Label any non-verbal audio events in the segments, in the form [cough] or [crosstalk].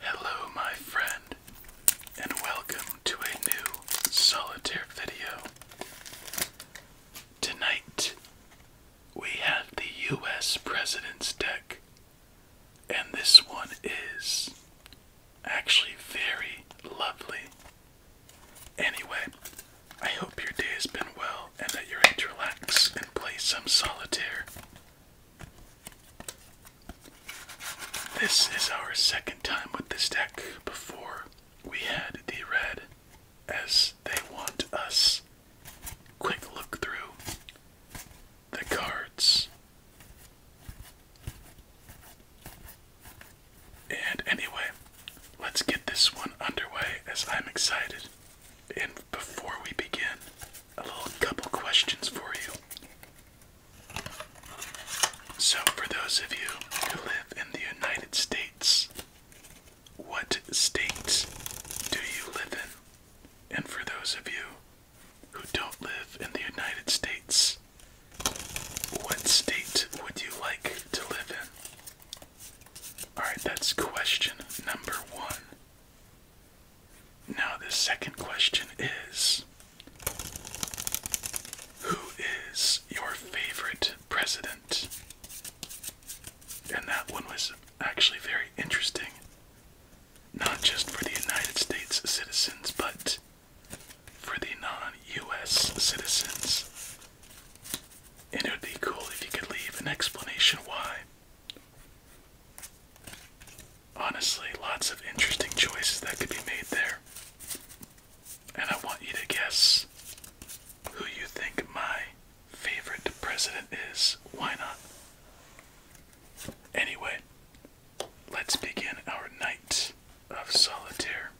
Hello, my friend, and welcome to a new solitaire video. Tonight, we have the US President's deck, and this one is actually very lovely. Anyway, I hope your day has been well and that you're ready to relax and play some solitaire this is our second time with this deck. Before we had the red as they want us. Quick look through the cards. And anyway, let's get this one underway as I'm excited. And before we begin, a little couple questions for you. So, for those of you who live in the United States, what state do you live in? And for those of you who don't live in the United States, what state would you like to live in? Alright, that's question number one. Now, the second question is Who is your favorite president? And that one was actually very interesting, not just for the United States citizens, but for the non US citizens. And it would be cool if you could leave an explanation why. Honestly, lots of interesting choices that could be made there. And I want you to guess who you think my favorite president is. Why not? Anyway, let's begin our night of solitaire.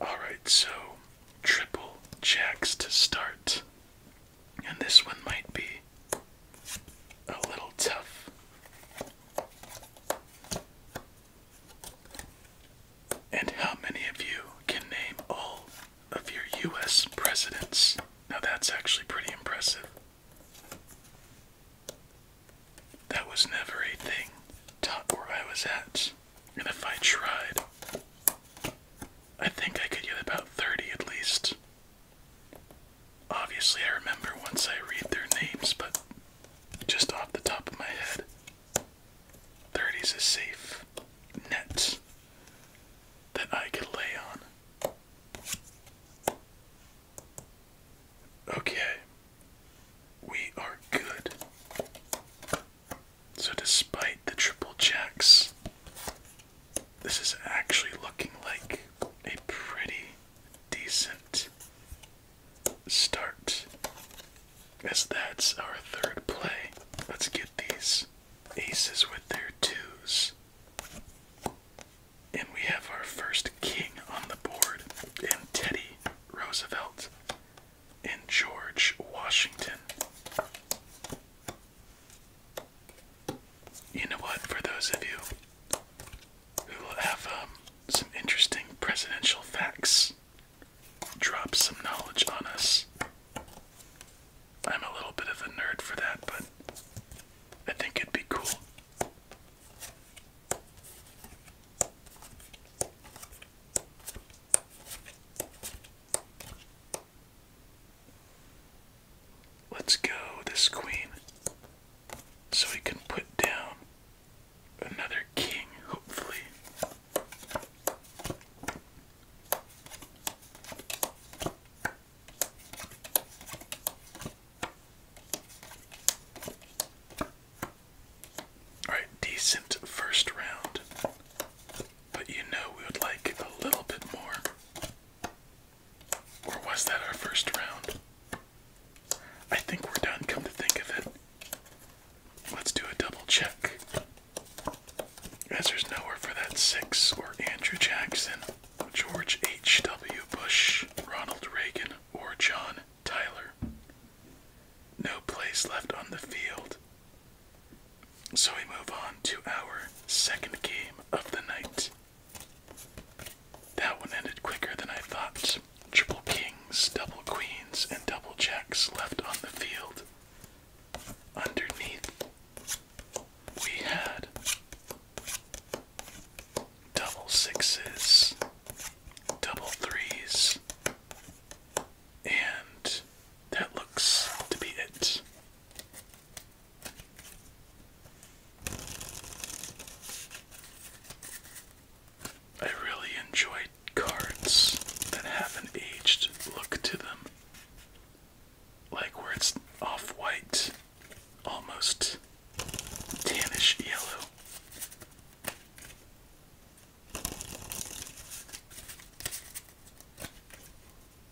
All right, so triple jacks to start. And this one might be a little tough. And how many of you can name all of your US presidents? Now that's actually pretty impressive. That was never a thing taught where I was at. And if I tried, I think I could get about 30 at least. Obviously, I remember once I read their names, but just off the top of my head, 30's a safe net that I can lay on. Okay, we are good. So, despite the triple checks. This is actually looking like a pretty decent start. As that's our third play. Let's get these aces with their twos. And we have our first king on the board and Teddy Roosevelt and George Washington. You know what? For those of you who have um, some interesting presidential facts, drop some knowledge on us. I'm a little bit of a nerd for that, but I think it'd be cool. Let's go, this queen. So we can put down another king, hopefully. Alright, decent first round. But you know we would like a little bit more. Or was that our first round? I think we're done, come to think of it. Let's do a double check. As there's nowhere for that six or Andrew Jackson, George H.W. Bush, Ronald Reagan, or John Tyler. No place left on the field so we move on to our second game of the night. That one ended quicker than I thought. Triple kings, double queens, and double jacks left on the field. Underneath, we had double sixes, double threes, and that looks to be it. I really enjoy cards that have an aged look to them. Like where it's off white, almost tannish yellow.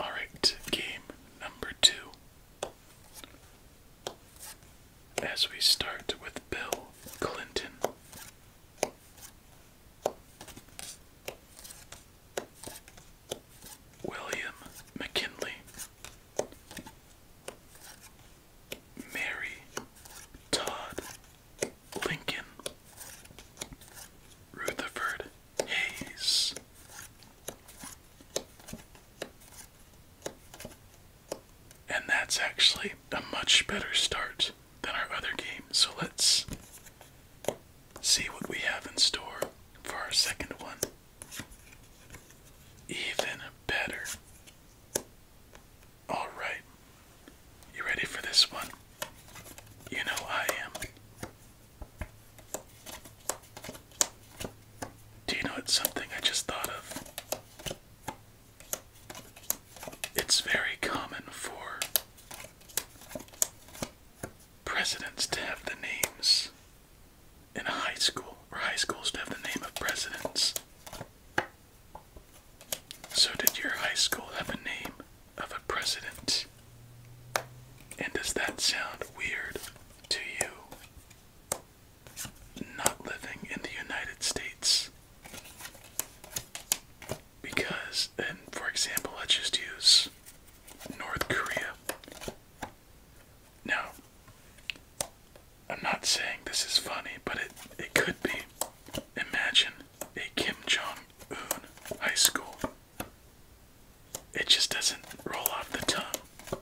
All right, game number two. As we start with Bill Clinton. William McKinley, Mary Todd Lincoln, Rutherford Hayes. And that's actually a much better start than our other game. So let's see what we have in store for our second one. Even better. All right. You ready for this one? You know I am. Do you know it's something I just thought of? It's very common for presidents to have the names in a high school, or high schools to have the name of presidents. So, did your high school have a name of a president? And does that sound weird to you? Not living in the United States. Because, and for example, let's just use North Korea. Now, I'm not saying this is funny, but it, it could be. Imagine a Kim Jong Un high school. It just doesn't roll off the tongue.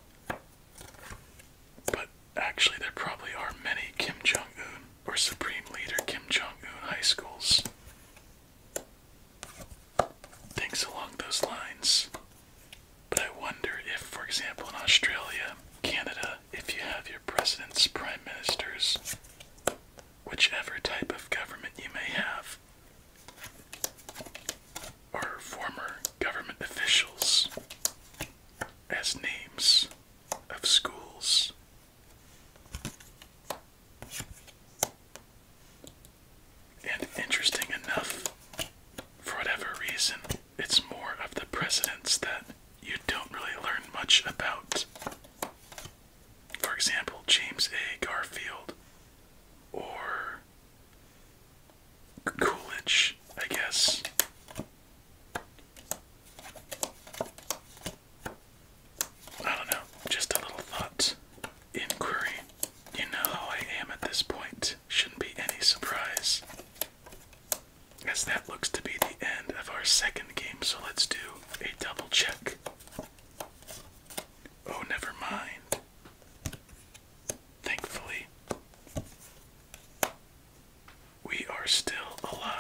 But actually, there probably are many Kim Jong Un or Supreme Leader Kim Jong Un high schools. Things along those lines. But I wonder if, for example, in Australia, Canada, if you have your presidents, prime ministers, whichever type of government you may have, or former government officials as names of schools. And interesting enough, for whatever reason, it's more of the presidents that you don't really learn much about for example, James A. Garfield or Coolidge, I guess. I don't know, just a little thought inquiry. You know how I am at this point. Shouldn't be any surprise as that looks to be the end of our second game, so let's do a double check. Oh, never mind. Thankfully, we are still alive.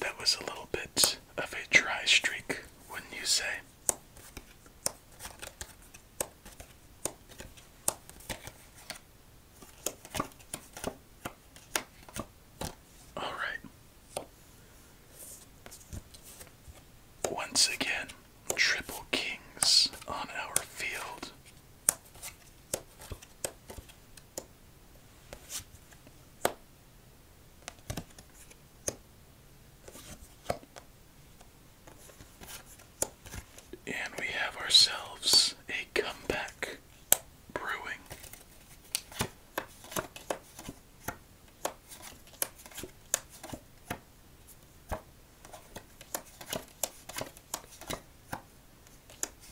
That was a little bit of a dry streak, wouldn't you say? All right. Once again, triple kings on our field. And we have ourselves a comeback. Brewing.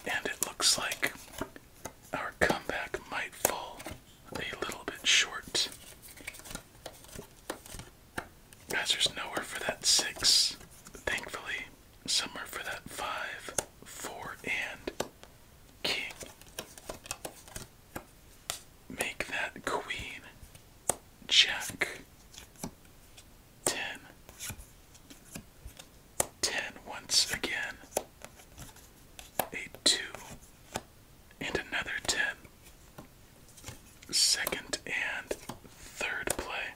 And it looks like our comeback might fall a little bit short. Guys, there's nowhere for that six, thankfully. Somewhere for that five, four, and king. Make that queen, jack, ten, ten once again, a two, and another ten. Second and third play.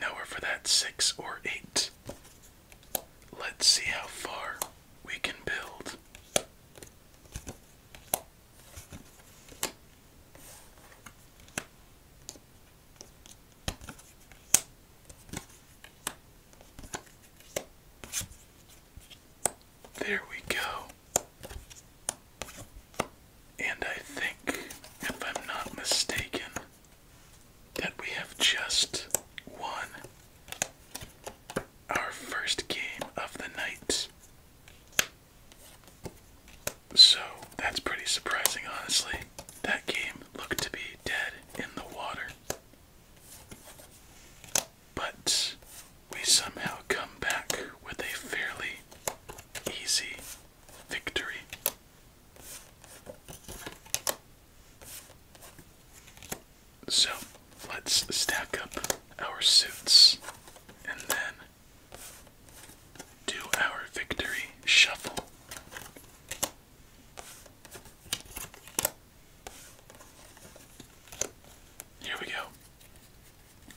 Nowhere for that six or eight. Let's see how far we can build. There we go. And I think, if I'm not mistaken, that we have just won our first game of the night. So that's pretty surprising, honestly. That game looked to be dead in the water. But we somehow come back with a fairly easy victory. So let's stack up our suits and then do our victory shuffle. Here we go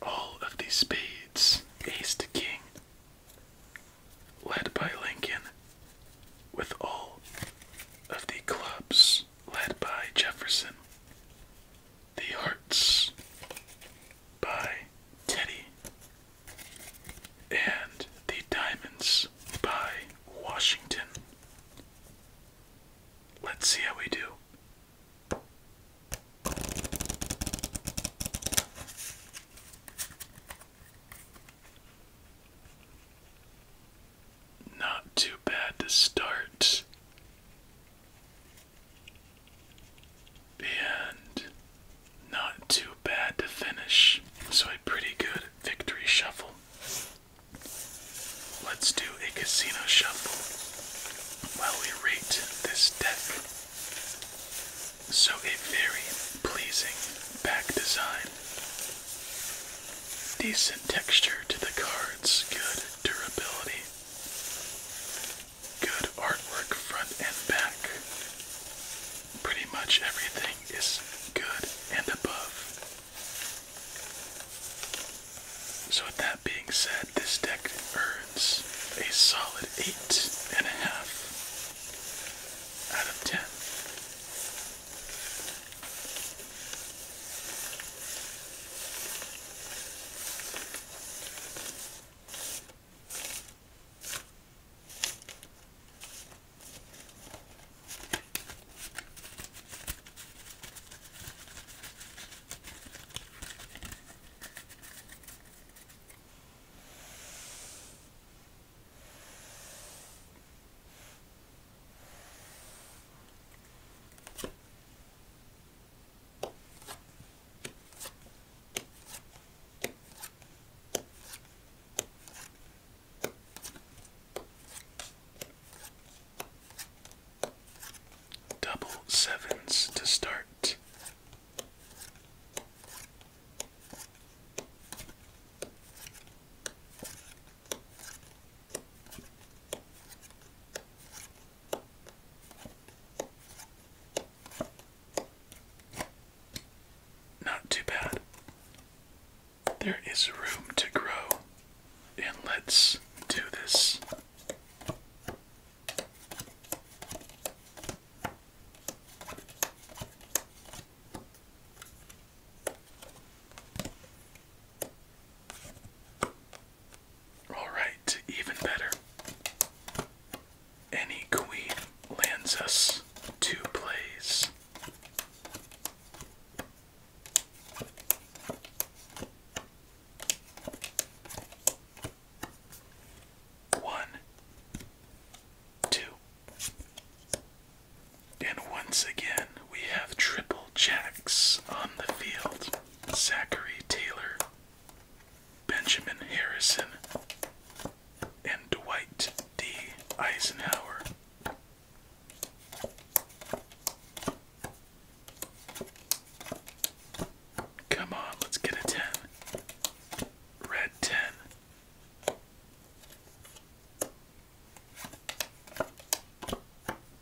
all of the spades, ace to king, led by Lincoln, with all of the clubs, led by Jefferson, the hearts by Teddy, and the diamonds by Washington. Let's see how we do. Not too bad to start. And not too bad to finish. So, a pretty good victory shuffle. Let's do a casino shuffle while we rate this deck. So, a very pleasing back design. Decent texture to the cards, good durability, good artwork front and back. Pretty much everything is good and above. So, that being being said, this deck earns a solid eight and a half out of ten. Double sevens to start. Not too bad. There is room to grow, and let's do this. All right, even better. Any queen lands us two plays. One, two. And once again, we have triple jacks on the field. Zachary Taylor, Benjamin Harrison, and Dwight D. Eisenhower. Come on, let's get a 10. Red 10.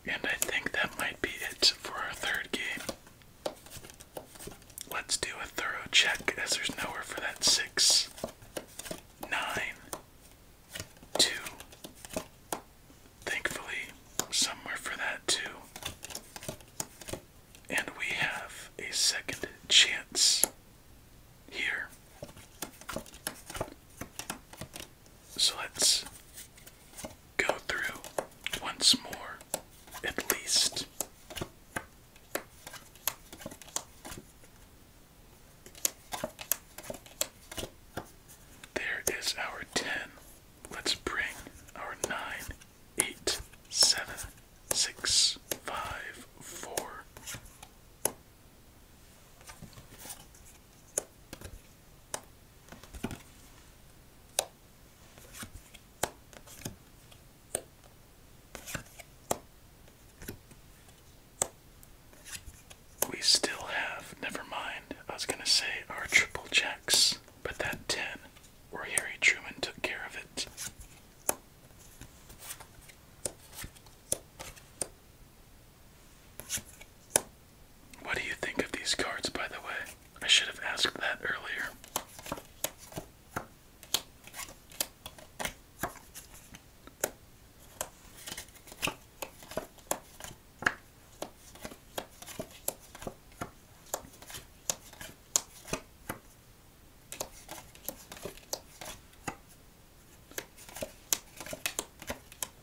And I think that might be it for our third game. Let's do a thorough check as there's nowhere for that 6, Thankfully, somewhere for that 2. And we have a second chance here. So let's go through once more, at least. There is our 10. Let's bring our 9 eight, seven, six, five, four. We still have, never mind, I was going to say our triple checks, but that 10 or Harry Truman took care of it. What do you think of these cards, by the way? I should have asked that earlier.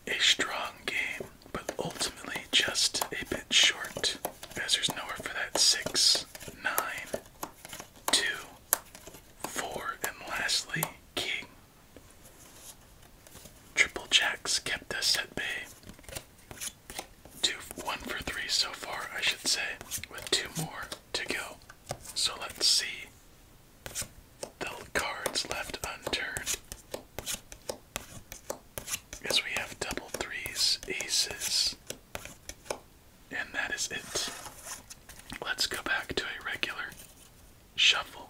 A strong game, but ultimately just a bit short, as there's nowhere for that six, nine, two, four, and lastly, king. Triple jacks kept us at bay. Two, one for three so far, I should say, with two more to go. So let's see the cards left unturned. As we have double threes, aces, and that is it. Let's go back to a regular shuffle.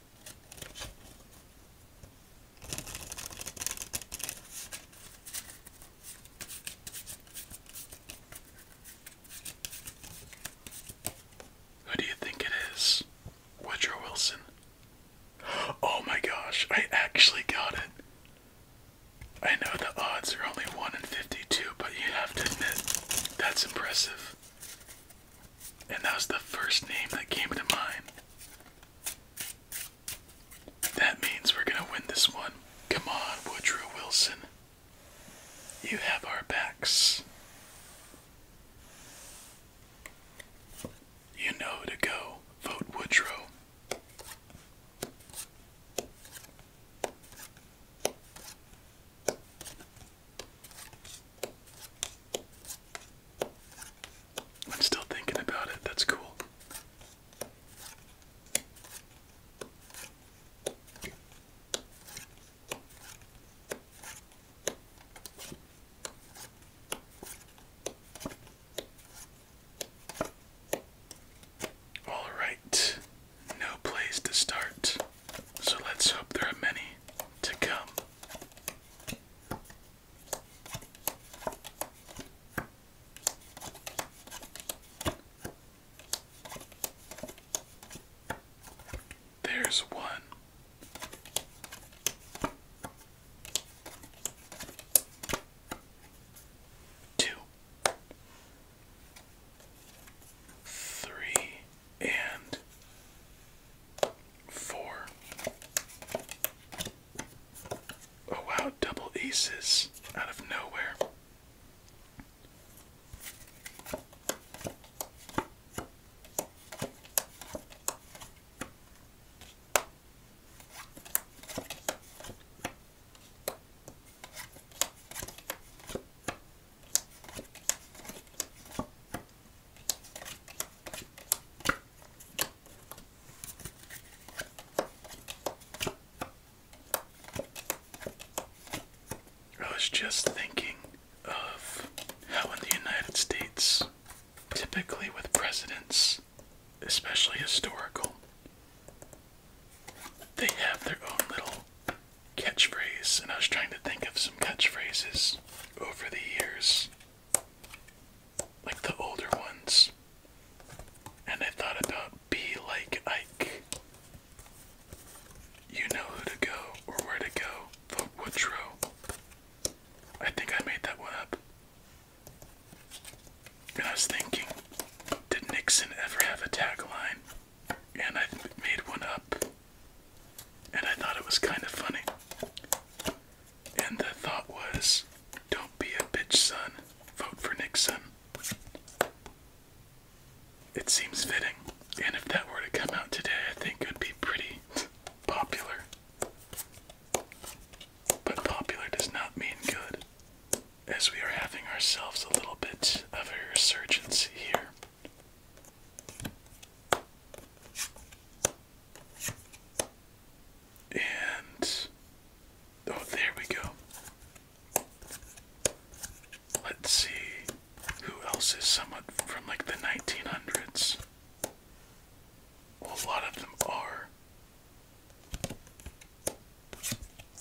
Who do you think it is? Woodrow Wilson. Oh my gosh, I actually got it. I know the odds are only 1 in 52, but you have to admit, that's impressive. And that was the first name that came to mind. That means we're going to win this one. Come on, Woodrow Wilson. You have our backs. You know to go. Vote Woodrow. I'm still thinking about it. That's cool. All right, no place to start, so let's hope there are many to come. There's one and four. Oh wow, double aces out of nowhere. I was just thinking of how in the United States, typically with presidents, especially historical, they have their own little catchphrase, and I was trying to think of some catchphrases over the years, like the older ones, and I thought about be like Ike. You know who to go or where to go, the Woodrow. I think I made that one up. And I was thinking, did Nixon ever have a tagline? And I made one up. And I thought it was kind of funny. And the thought was don't be a bitch, son. Vote for Nixon. It seems fitting. And if that were to come out today, I think it would be pretty [laughs] popular. But popular does not mean good, as we are having ourselves a little bit of a resurgence here. And oh, there we go. Let's see who else is somewhat from like the 1900s. a lot of them are.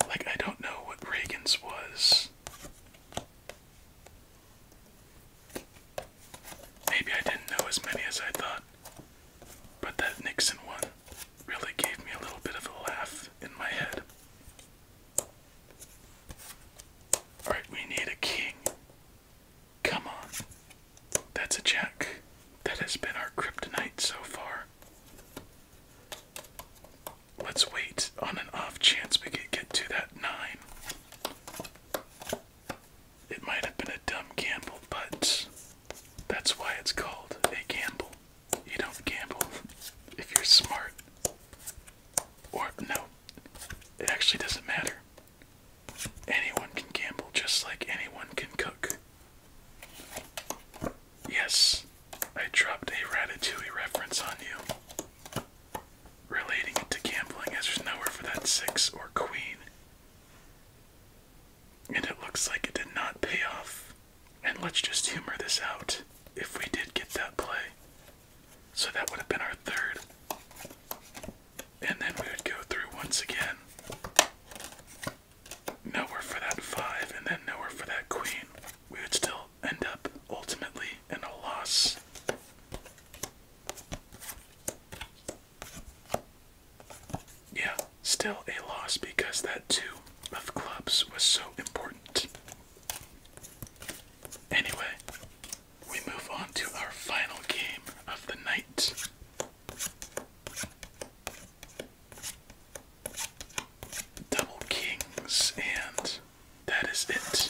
Like, I don't know what Reagan's was. Maybe I didn't know as many as I thought, but that Nixon one really gave me a little bit of a laugh in my head. Alright, we need a king. Come on. That's a jack. That has been our kryptonite so far. Let's wait on an off chance we can get to that nine. It might have been a dumb gamble, but that's why it's called a gamble. You don't gamble if you're smart. Or, no, it actually doesn't matter. Anyone can gamble just like anyone can cook. Yes, I dropped a Ratatouille reference on you relating it to gambling as there's nowhere for that six or queen. And it looks like it did not pay off. And let's just humor this out if we did get that play. So that would have been our third. And then we would go through once again. Nowhere for that five, and then nowhere for that queen. We would still end up ultimately in a loss. Yeah, still a loss because that two of clubs was so important. Anyway, we move on to our final game of the night. Double kings, and that is it.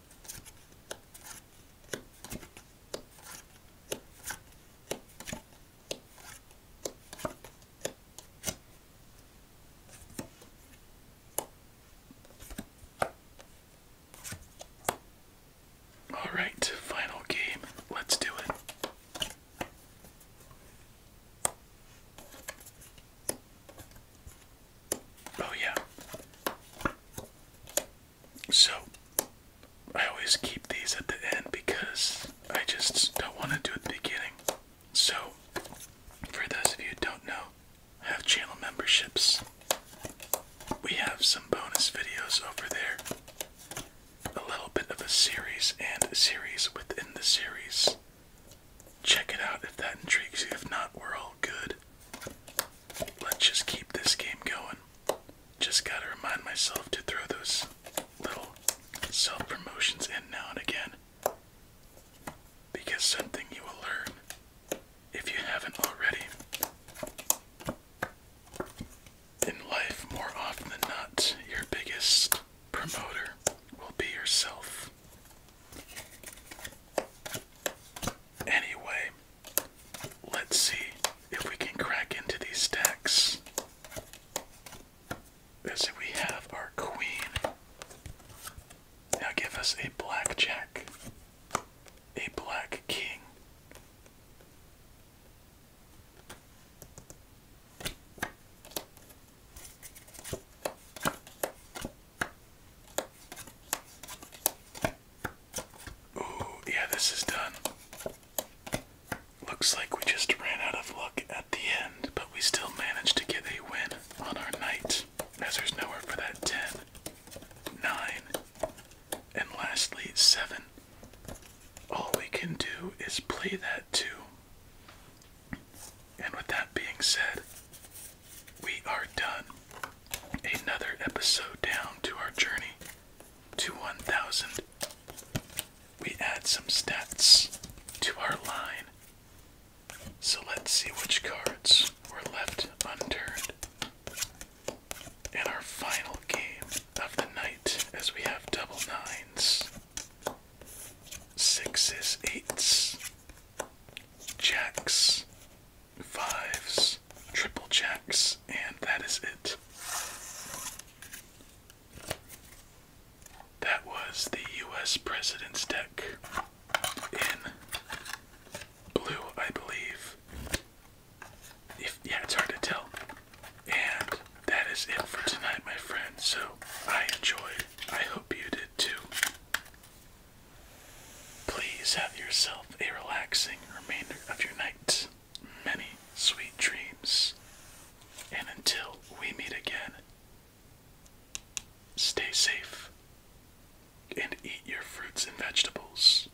All right, final game. Let's do it. Oh, yeah. So I always keep these at the end because I just don't want to do it at the beginning. So for those of you who don't know, I have channel memberships. We have some bonus videos over there. A little bit of a series and a series within the series. Check it out if that intrigues you. If not, we're all good. Let's just keep this game going. Just gotta remind myself to throw those little self promotions in now and again. Because something you will learn, if you haven't already, in life, more often than not, your biggest promoter will be yourself. Anyway, Let's see if we can crack into these stacks. So we have our queen. Now give us a black a black king. Ooh, yeah, this is done. Looks like we just ran out of luck at the end, but we still managed to get a win on our night, as there's nowhere for that 10, and lastly 7. All we can do is play that 2. And with that being said, we are done another episode down to our journey to 1000. We add some stats to our line. So let's see which cards were left unturned in our final game of the night as we have double nines, sixes, eights, jacks, fives, triple jacks, and that is it. That was the US President's deck in blue, I believe. If, yeah, it's hard to tell. And that is it for tonight, my friends. So I enjoyed. I hope you did too. Please have yourself a relaxing remainder of your night, many sweet dreams, and until we meet again, stay safe and eat your fruits and vegetables.